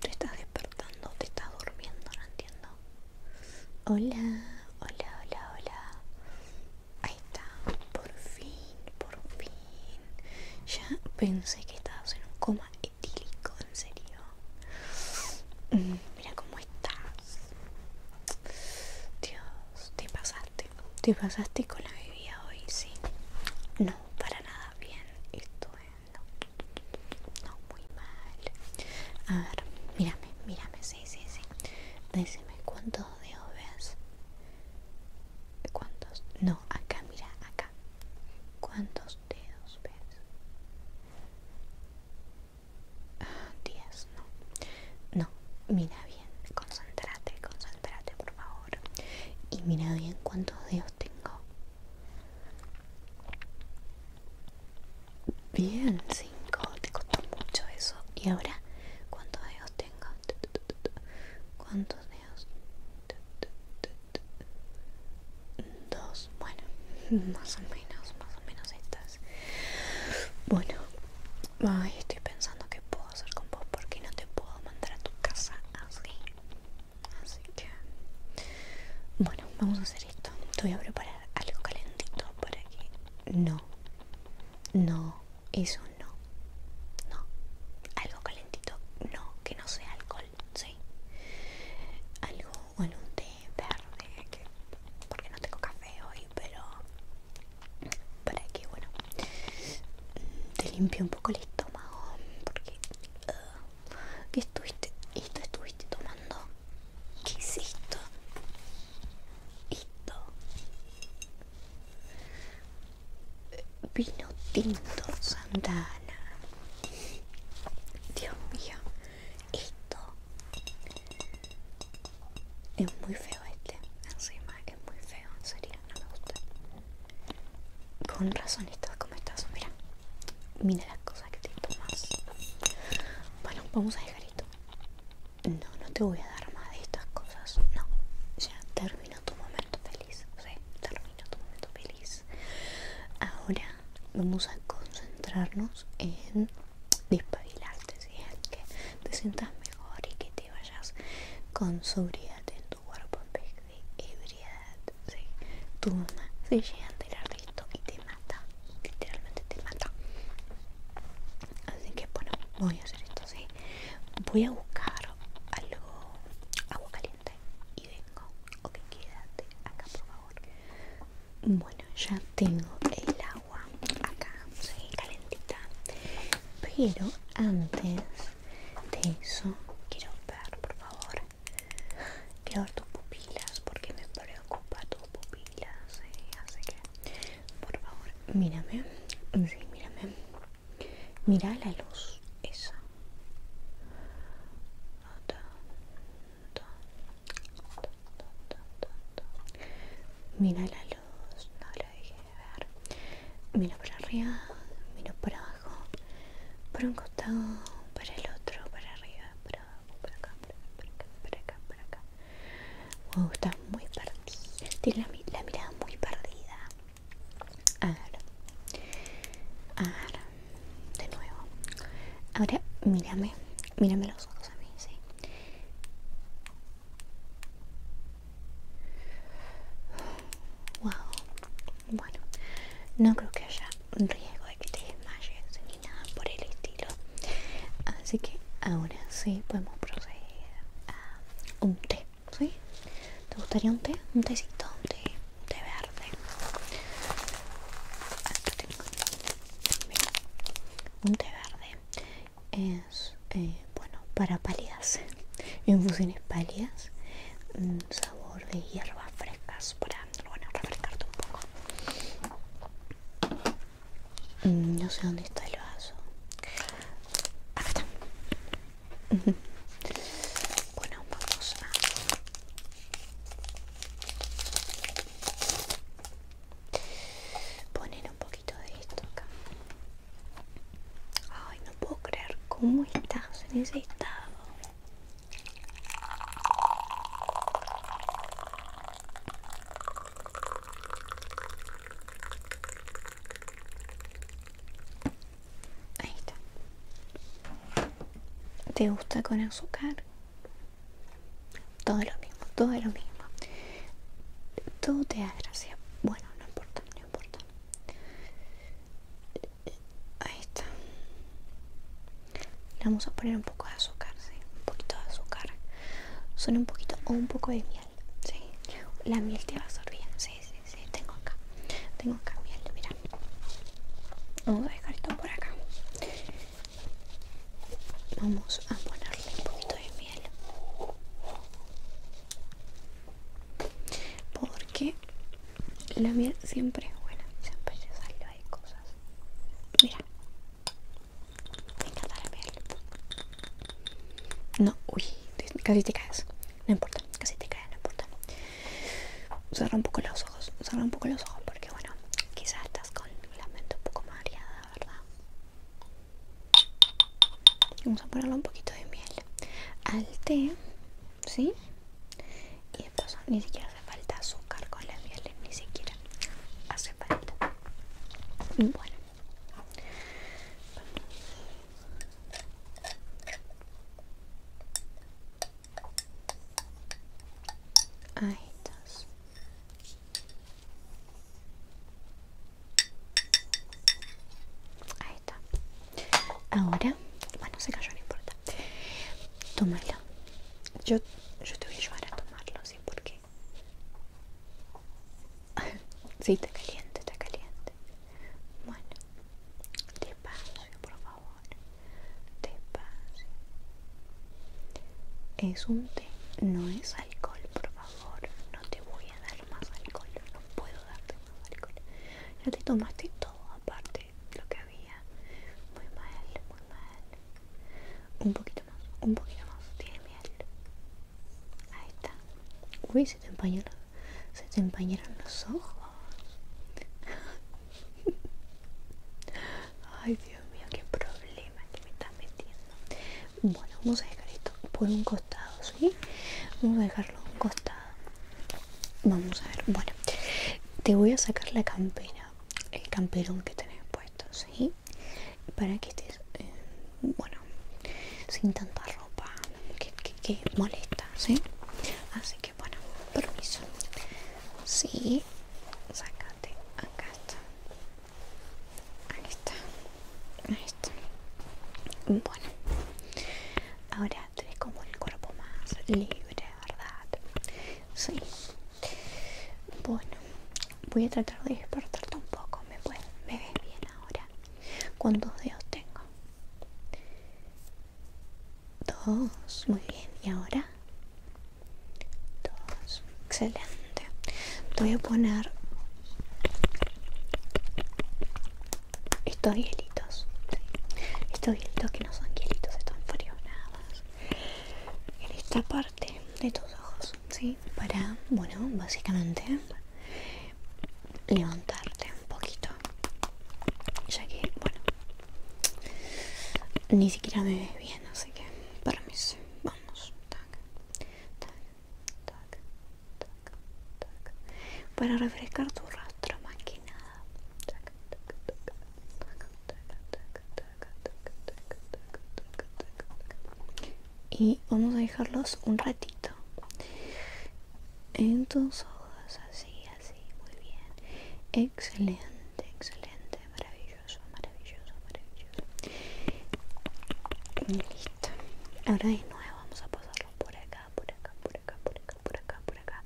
Te estás despertando, te estás durmiendo, no entiendo. Hola, hola, hola, hola. Ahí está, por fin, por fin. Ya pensé que estabas en un coma etílico, en serio. Mm, mira cómo Dios, te pasaste. Te pasaste con la bebida hoy, sí. No, para nada bien. estuve no, muy mal. A ver, mírame, mírame, sí, sí, sí. Decime cuántos dedos ves. ¿Cuántos? No, acá, mira, acá. ¿Cuántos dedos ves? 10 no. No, mira bien, concentrate concentrate por favor. Y mira bien cuántos dedos tengo. Bien, 5, te costó mucho eso. Y ahora, ¿cuántos dedos tengo? ¿Cuántos dedos? Dos, bueno, más o menos, menos estas. Bueno, estoy pensando que puedo hacer con vos porque no te puedo mandar a tu casa así. Así que, bueno, vamos a hacer esto. Te voy a preparar algo calentito para que no, no, eso no, no, algo calentito, no, que no sea alcohol, sí, algo, bueno, un té verde porque no tengo café hoy, pero para que, bueno, te limpie un poco el estómago, porque uh, estuviste? ¿Esto estuviste tomando? ¿Qué es esto? Esto. Vino tinto Santana. Dios mío, esto es muy feo este encima es muy feo en serio no me gusta con razón estás como estás mira mira las cosas que te tomas bueno vamos a dejar esto no no te voy a dar más de estas cosas no ya terminó tu momento feliz o terminó tu momento feliz ahora vamos a concentrarnos en despabilarte, ¿sí? que te sientas mejor y que te vayas con sobriedad en tu cuerpo en vez de ebriedad. ¿sí? Tu mamá se llega a tirar de esto y te mata, literalmente te mata. Así que bueno, voy a hacer esto, voy a buscar algo, agua caliente y vengo. Ok, quédate acá por favor. Bueno, ya tengo el agua acá, calentita. Pero antes de eso, quiero ver, por favor, quiero ver tus pupilas porque me preocupa tus pupilas. Eh, así que, por favor, mírame. Sí, mírame. Mira la luz, esa. Mira la luz, no lo dejé de ver. mira para arriba, mira por abajo, por un costado, para el otro, para arriba, para abajo, para acá, para acá, para acá, para acá. Wow, está muy perdida. Tiene la, mirada muy perdida de nuevo. Ahora mírame, mírame los ojos a mí, sí. Wow. Bueno, no creo que haya riesgo de que te desmayes ni nada por el estilo. Así que ahora sí podemos proceder a un té, ¿sí? ¿Te gustaría un té? Un tecito, un té. Ah, un té verde un té verde es eh, bueno para paliarse, infusiones pálidas mm, sabor de hierbas frescas para bueno, refrescarte un poco mm, no sé dónde está el vaso acá está bueno vamos a Poner un poquito de esto acá. Ay, no puedo creer cómo estás en ese estado. Ahí ¿Te gusta con azúcar? Todo lo mismo, todo lo mismo. Todo te da gracia. Bueno, no importa, no importa. Ahí está. Le vamos a poner un poco de azúcar, ¿sí? Un poquito de azúcar. Solo un poquito o un poco de miel, ¿sí? La miel te va a servir, sí, sí, sí. Tengo acá. Tengo acá miel, mira vamos a dejar esto por acá vamos a ponerle un poquito de miel porque la miel siempre es buena siempre se salva de cosas mira me encanta la miel no uy casi te caes no importa, casi te cae, no importa. Cerra un poco los ojos, cerra un poco los ojos porque bueno, quizás estás con la mente un poco mareada, ¿verdad? Vamos a ponerle un poquito de miel al té, ¿sí? Y después ni siquiera hace falta azúcar con la miel, ni siquiera hace falta. Bueno ahí está, ahí está ahora bueno se cayó no importa tómalo yo, yo te voy a ayudar a tomarlo sí qué? sí está caliente está caliente bueno despacio por favor pase Es un té, no es alcohol, por favor. No te voy a dar más alcohol, no puedo darte más alcohol. Ya te tomaste todo, aparte lo que había. Muy mal, muy mal. Un poquito más, un poquito más. Tiene miel. Ahí está se te empañaron, los ojos. Ay, Dios mío, qué problema que me está metiendo. Bueno, vamos a dejar esto por un costado, ¿sí? Vamos a dejarlo un costado. Vamos a ver, bueno, te voy a sacar la campera, el camperón que tenés puesto, ¿sí? Para que estés, eh, bueno, sin tanta que, molesta, ¿sí? Así que bueno, permiso. Sí, sacate, acá está. Ahí está, ahí está. Bueno, ahora tienes como el cuerpo más libre, ¿verdad? Sí. Bueno, voy a tratar de despertarte un poco. ¿Me, ¿Me ves bien ahora? cuántos dedos tengo. Dos, muy bien. ¿Y ahora? Dos, excelente. voy a poner estos hielitos. Estos hielitos que no son hielitos, están friolados En esta parte de tus ojos, ¿sí? Para, bueno, básicamente levantarte un poquito ya que bueno ni siquiera me ve bien así que para mí vamos para refrescar tu rostro más que nada y vamos a dejarlos un ratito en ojos, así, así, muy bien, excelente, excelente, maravilloso, maravilloso, maravilloso. Listo. Ahora de nuevo vamos a pasarlo por acá, por acá, por acá, por acá, por acá, por acá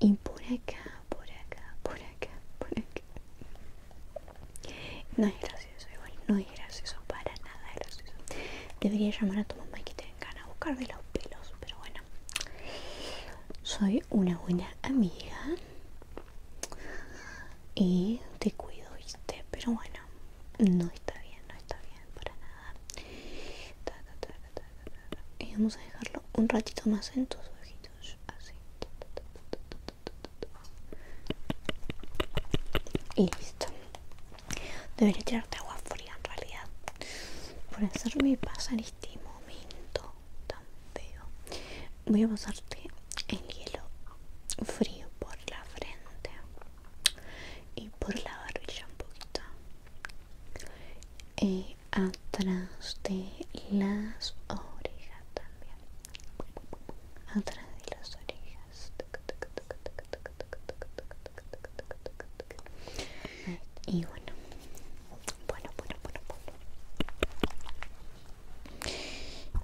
y por acá, por acá, por acá, por acá. No es gracioso, igual, no es gracioso para nada gracioso. Debería llamar a tu mamá vengan a buscar de los pelos, pero bueno, soy una buena amiga y te cuido, ¿viste? Pero bueno, no está bien, no está bien para nada. Y vamos a dejarlo un ratito más en tus ojitos, así. Y listo. Debería tirarte agua fría en realidad por hacerme pasar este momento tan feo. Voy a pasarte el hielo frío por la frente y por la barbilla un poquito. Y eh, atrás de las orejas también. Atrás de las orejas. Y bueno, bueno, bueno, bueno, bueno.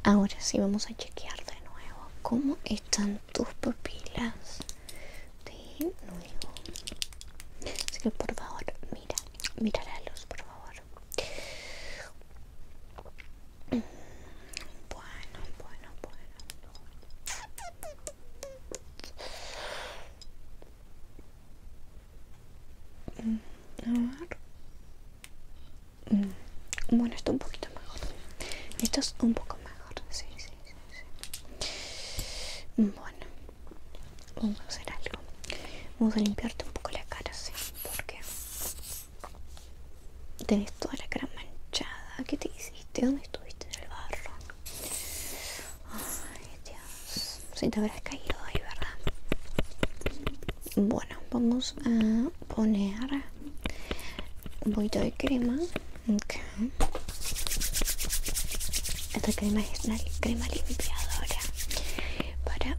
Ahora sí vamos a chequear de nuevo cómo están tus pupilas de nuevo. Así que por favor, mira, mira la luz, por favor. Bueno, bueno, bueno. bueno mm, Bueno, esto un poquito mejor. Esto es un poco mejor. sí, sí, sí. Bueno, vamos a hacer algo. Vamos a limpiarte un poco la cara, sí. Porque Tenés toda la cara manchada. ¿Qué te hiciste? ¿Dónde estuviste en el barro? Ay, Dios. Si te habrás caído hoy ¿verdad? Bueno, vamos a poner un poquito de crema. Esta crema es una crema limpiadora para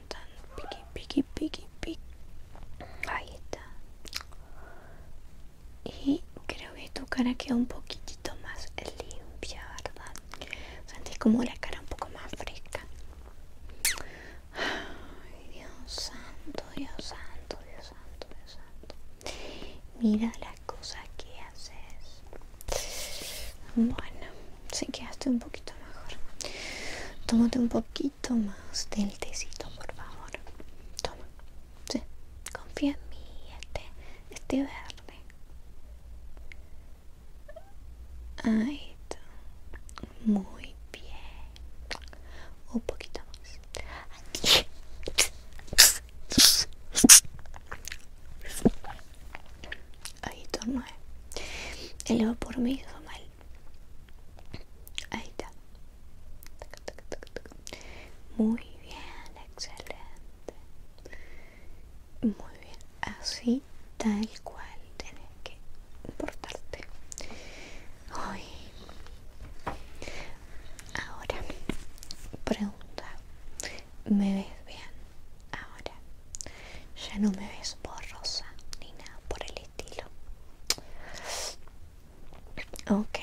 piqui piqui piqui piqui ahí está y creo que tu cara queda un poquitito más limpia verdad sentís como la cara un poco más fresca Ay, Dios santo Dios santo Dios santo Dios santo mira las cosas que haces bueno se quedaste un poquito mejor tómate un poquito más del tecito por favor toma confía en mí este este verde ahí está muy bien un poquito más ahí torno él va por mí hizo mal ahí está muy bien excelente muy bien así tal cual tienes que portarte hoy ahora pregunta me ves bien Ahora ya no me ves borrosa ni nada por el estilo. Ok,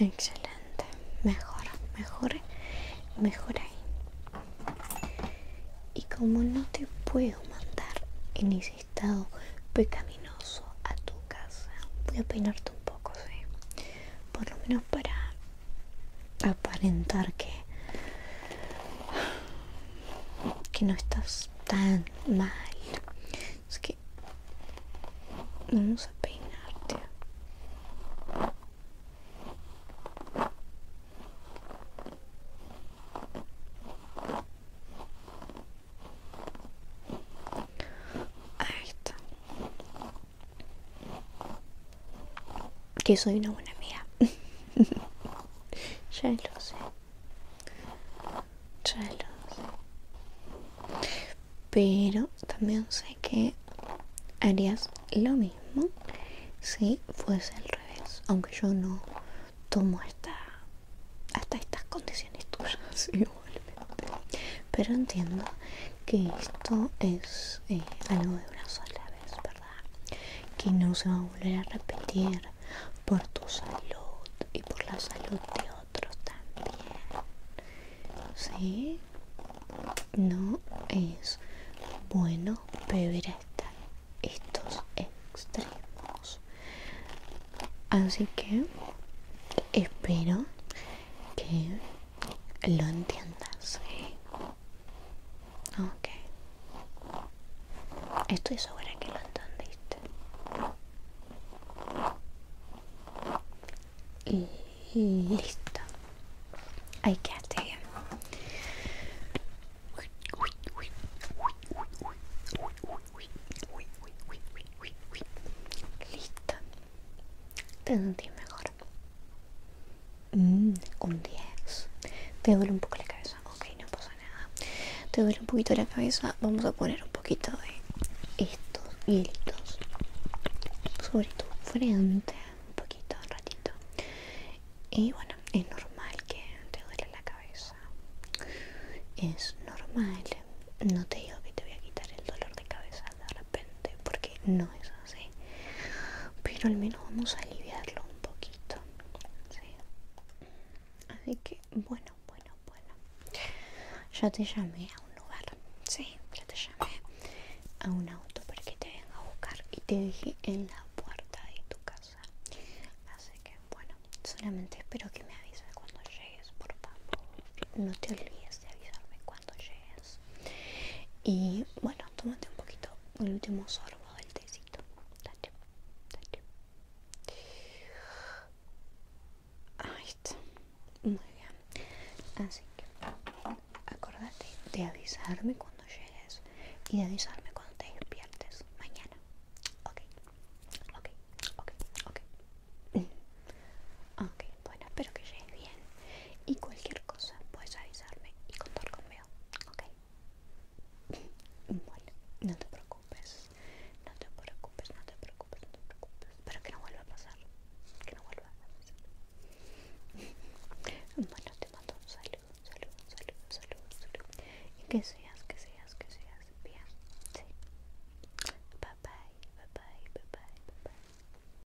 excelente. Mejor, mejor, mejor ahí. Y como no te puedo mandar en ese estado pecaminoso a tu casa, voy a peinarte un poco, ¿sí? Por lo menos para aparentar que que no estás tan mal es que vamos a peinarte Ahí que soy una buena amiga. ya lo sé. Ya lo sé. Pero también sé que harías lo mismo si fuese al revés. Aunque yo no tomo hasta, hasta estas condiciones tuyas igualmente. Pero entiendo que esto es eh, algo de una sola vez que no se va a volver a repetir por tu salud y por la salud de otros también ¿Sí? no es bueno beber hasta estos extremos así que espero que lo entiendas Ok. Estoy segura que lo entendiste. Y listo. Ahí quedaste bien. Listo. Te sentís mejor un mm, 10. Te duele un poco la cabeza. Ok, no pasa nada. Te duele un poquito la cabeza. Vamos a poner un poquito de estos hielitos sobre tu frente. Un poquito, un ratito. Y bueno, es normal que te duele la cabeza. Es normal. No te digo que te voy a quitar el dolor de cabeza de repente porque no es ¿sí? pero al menos vamos a aliviarlo un poquito así que bueno bueno bueno ya te llamé a un lugar sí ya te llamé a un auto para que te venga a buscar y te dejé en la puerta de tu casa así que bueno solamente espero que me avises cuando llegues por favor no te olvides de avisarme cuando cuando llegues. Y bueno, tómate un poquito el último sorbo del tecito. Ahí está. Muy bien. Así que acordate de avisarme cuando llegues y de avisarme cuando te despiertes mañana. Ok, ok, ok, ok. Mm. Ok, bueno, espero que llegues bien. Y cualquier cosa puedes avisarme y contar conmigo. ¿Ok? Bueno, no te preocupes. No te preocupes, no te preocupes, no te preocupes. Pero que no vuelva a pasar. Que no vuelva a pasar. Bueno, te mando un saludo, un saludo, un saludo, un saludo, saludo. Y que seas, que seas, que seas bien. Sí. bye bye, bye bye, bye bye.